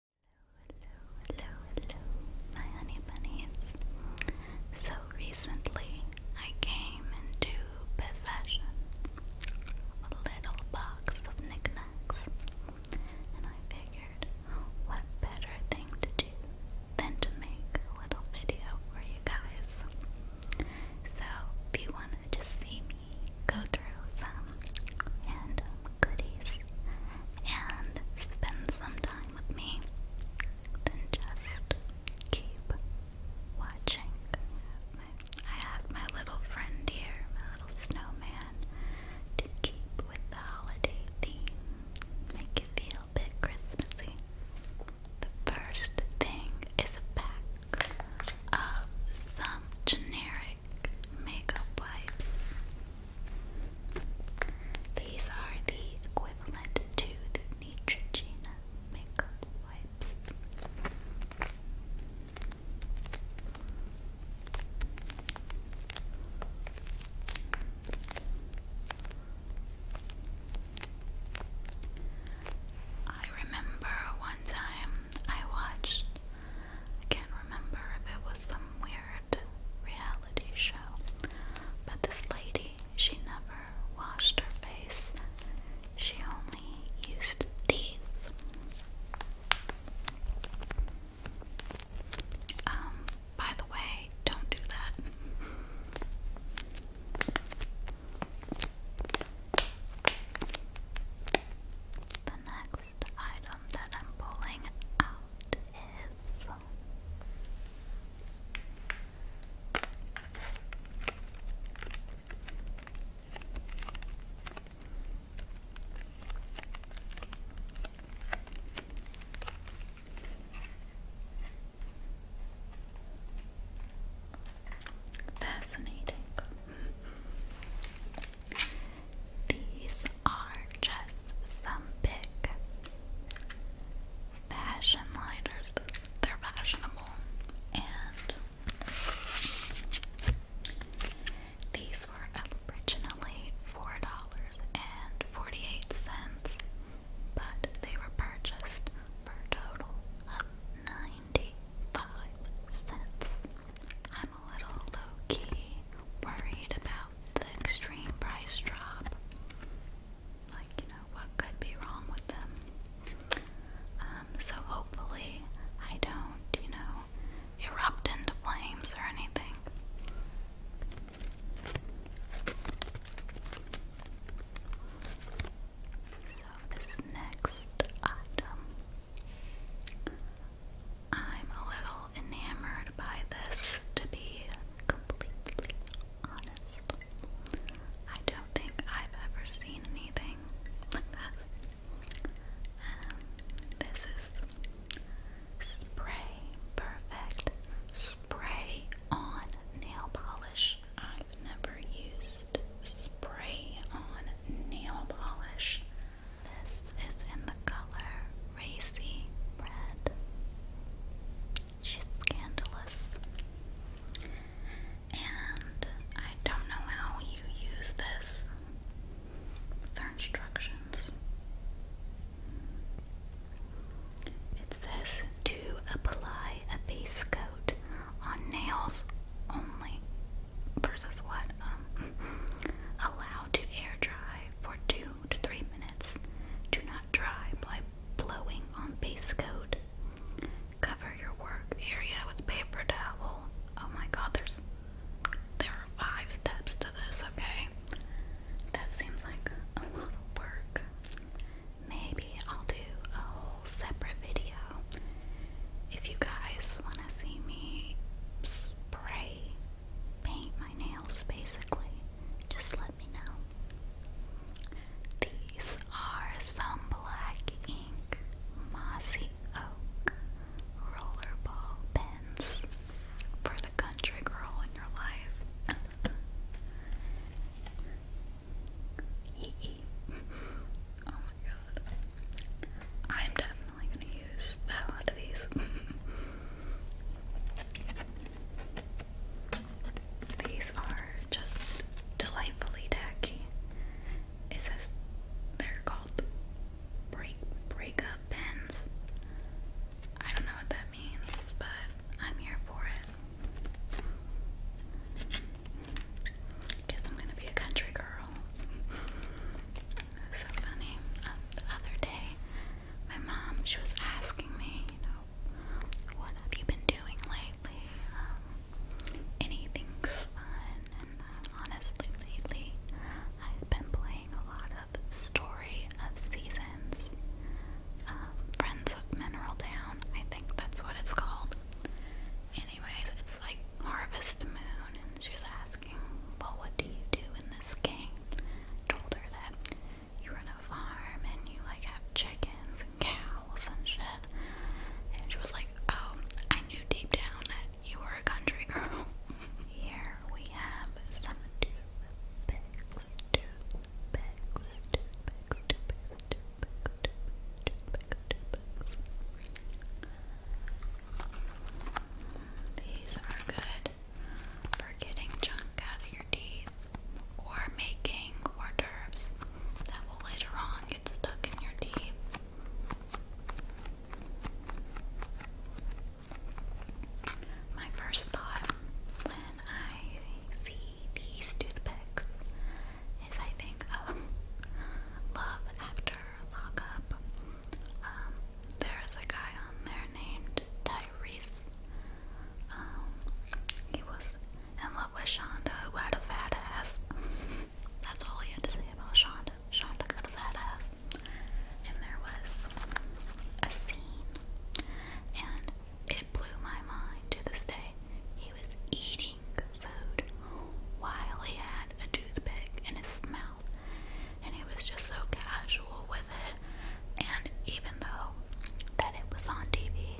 Hello, hello, hello, my honey So recently I came into possession of a little box of knickknacks, and I figured what better thing to do than to make a little video for you guys. So if you want to just see me go through some random goodies and spend some time with me, then just keep watching. I have my little friend here, my little snowman, to keep with the holiday theme, make it feel a bit Christmassy. The first thing is a pack of some generic makeup wipes. These are the equivalent to the Neutrogena makeup wipes. I remember one time I watched I can't remember if it was some weird reality show, but this lady, she never washed her face. She only used these. Um, by the way, don't do that. The next item that I'm pulling out is Fascinating. These are just some big fashion liners. They're fashionable. And these were originally $4.48, but they were purchased for a total of 95 cents a little low-key worried about the extreme price drop. Like, you know, what could be wrong with them? Um, so hopefully I don't, you know, erupt into flames or anything this next item. I'm a little enamored by this, to be completely honest. I don't think I've ever seen anything um, this is Spray Perfect Spray On Nail Polish. I've never used spray on nail polish. This is in the color Racy Red. She's scandalous. And I don't know how you use this. Their instructions. It says to apply a base coat on nails only versus what um, to air dry for two to three minutes. Do not dry by blowing on base coat. Cover your work area with paper towel. Oh my god, there's there are five steps to this, okay? That seems like a lot of work. Maybe I'll do a whole separate video if you guys want to see me spray paint my nails basically. Just let me know. These are some black ink mossy oak rollerball pens for the country girl in your life. oh my god. I'm definitely gonna use the hell of these. these are just delightfully tacky. It says they're called break breakup pins. I don't know what that means, but I'm here for it guess I'm gonna be a country girl. so funny. Um, the other day, my mom she was asking me, what have you been doing lately? Um, anything fun? And uh, honestly, lately, I've been playing a lot of Story of Seasons. Um, Friends of Mineral Down, I think that's what it's called. Anyways, it's like Harvest Moon, and she's asking, Well, what do you do in this game? I told her that you run a farm and you like have chickens and cows and shit. And she was like, Oh, I knew deep down that you were a country girl. Here we have some toothpicks, toothpicks, toothpicks, toothpicks, toothpicks, bugs. These are good for getting junk out of your teeth or making hors that will later on get stuck in your teeth. My first thought when I see these toothpicks is I think of Love After Lockup. Um, there's a guy on there named Tyrese. Um, he was in love with Shonda, who had a fat ass. That's all he had to say about Shonda. Shonda got a fat ass. And there was a scene, and it blew my mind to this day. He was eating food while he had a toothpick in his mouth, and he was just so casual with it. And even though that it was on TV,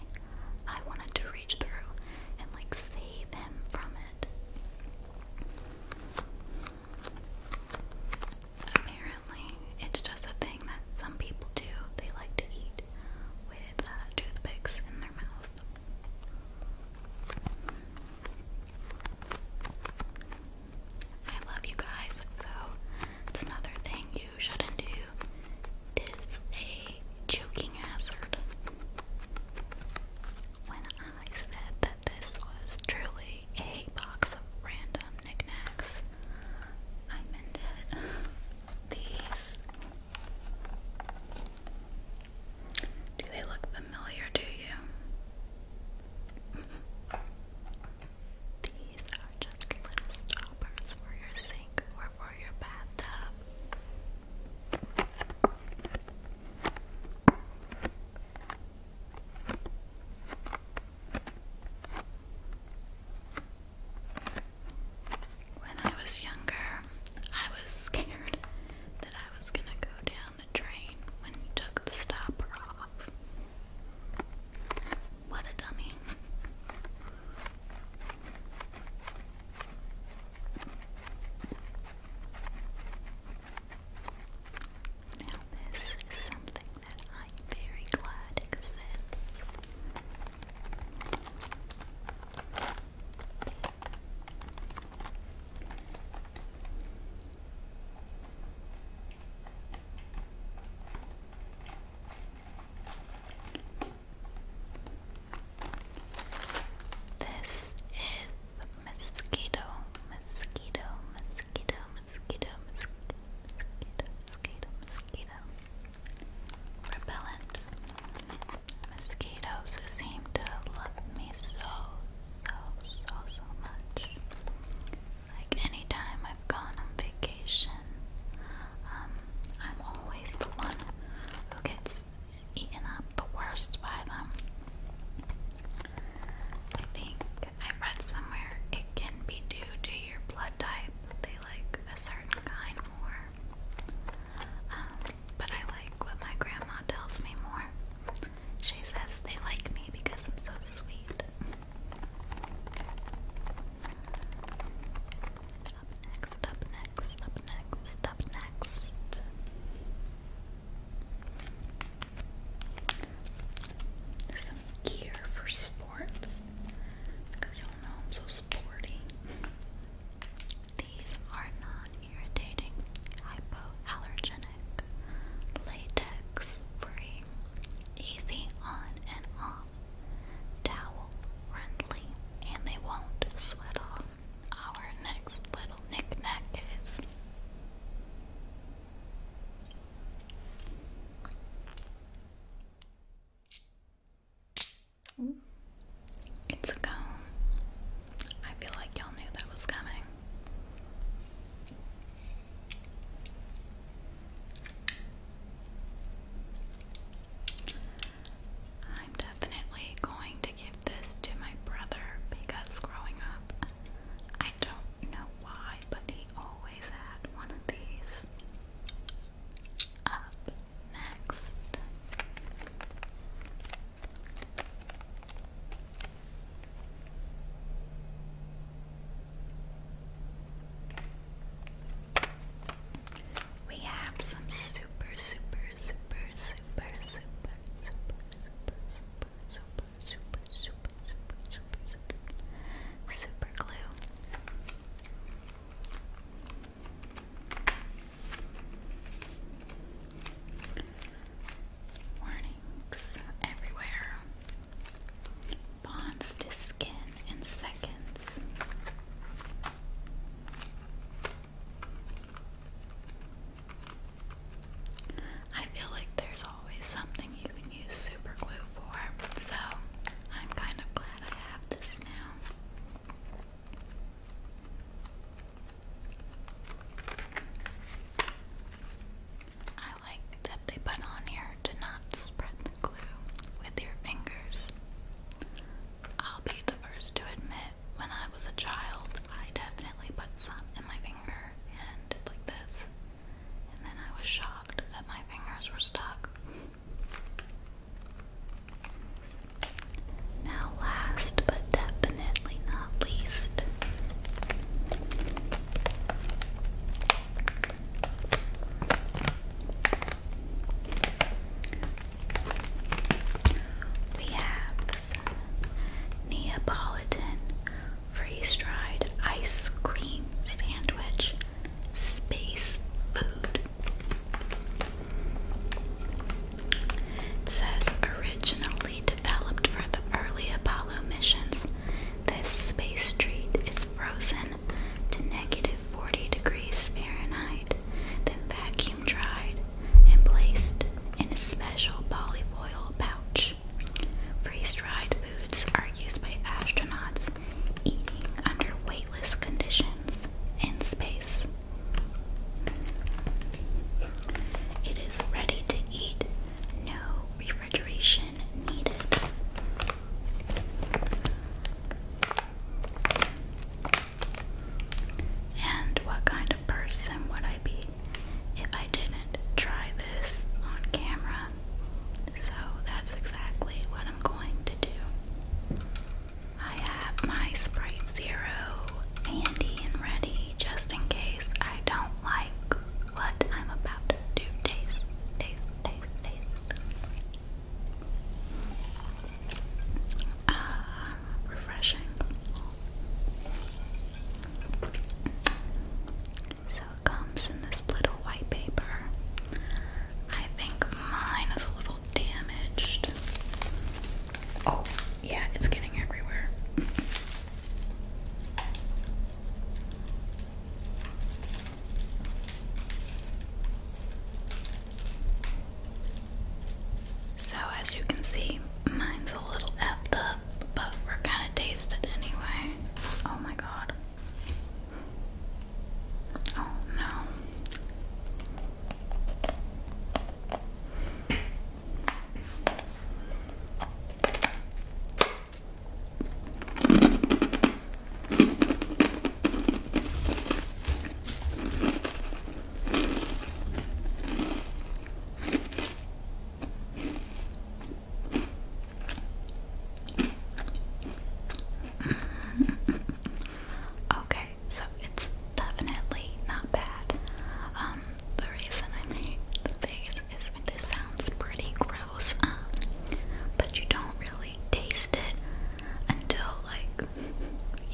I wanted to reach through and like save him from it. Apparently, it's just a thing that some people do. They like to eat uh, I love you guys, so another thing you shouldn't do is a choking hazard. When I said that this was truly a box of random knickknacks, I meant it. These. Do they look familiar to you? These are just little stoppers for your sink or for your bathtub. When I was younger, I was scared that I was gonna go down the drain when you took the stopper off. What a dummy. Now, this is something that I'm very glad exists. This is mosquito, mosquito, mosquito, mosquito, mosquito, mosquito, mosquito, mosquito repellent. Mosquitoes seem to love me so, so, so, so much. Like anytime I've gone on vacation, um, I'm always the one who gets eaten up the worst by them. I think I read somewhere it can be due to your blood type. They like a certain kind more. Um, but I like what my grandma tells me more. She says they like me because I'm so sweet. Up next, up next, up next, up next some gear for sports because y'all know I'm so sporty. These are non-irritating, hypoallergenic, latex-free, easy on and off, towel-friendly, and they won't sweat off. Our next little knick-knack is it's a cone. I feel like y'all knew that was coming. I'm definitely going to give this to my brother because growing up, I don't know why, but he always had one of these. Up next. We have some super, super, super, super, super, super, super, super, super, super, super, super, super, super, super, glue. Warnings everywhere. Bonds to skin in seconds. I feel like there's always something you can use super glue for, so I'm kind of glad I have this now. I like that they put on here to not spread the glue with your fingers. I'll be the first to admit, when I was a child, I definitely put some in my finger and like this. And then I was shocked that my fingers were stuck. Now, last but definitely not least, we have Neapolitan freeze dried ice cream sandwich, space food. says originally developed for the early Apollo missions, this space treat is frozen to negative 40 degrees Fahrenheit, then vacuum dried and placed in a special polyfoil pouch fish. Freeze-dried foods are used by astronauts eating under weightless conditions in space. It is ready to eat, no refrigeration needed. And what kind person would I be if I didn't try this on camera? So that's exactly what I'm going to do. I have my Sprite Zero handy and ready just in case I don't like what I'm about to taste, taste, taste, taste. Ah, refreshing. So it comes in this little white paper. I think mine is a little damaged. Oh, yeah, it's getting everywhere. So, as you can see, mine's a little effed up but we're kind of tasted anyway. Oh my god. Oh no. okay, so it's definitely not bad. Um, the reason I made the face is this sounds pretty gross, um, but you don't really taste it until like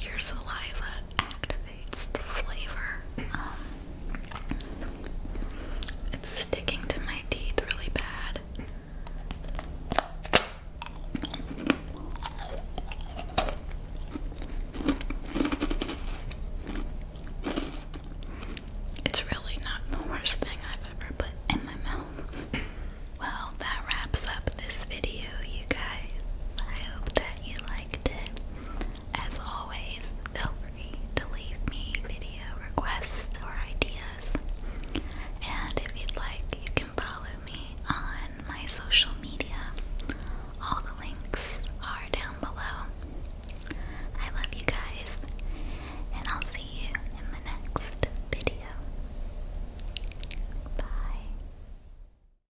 your saliva activates elevates the flavor. Um, it's sticking to my teeth really bad. It's really not the worst thing I've ever put in my mouth. Well, that wraps up this video, you guys. I hope that you liked it. As always, feel free to leave me video requests or ideas. And if you'd like, you can follow me on my social media. All the links are down below. I love you guys, and I'll see you in the next video. Bye.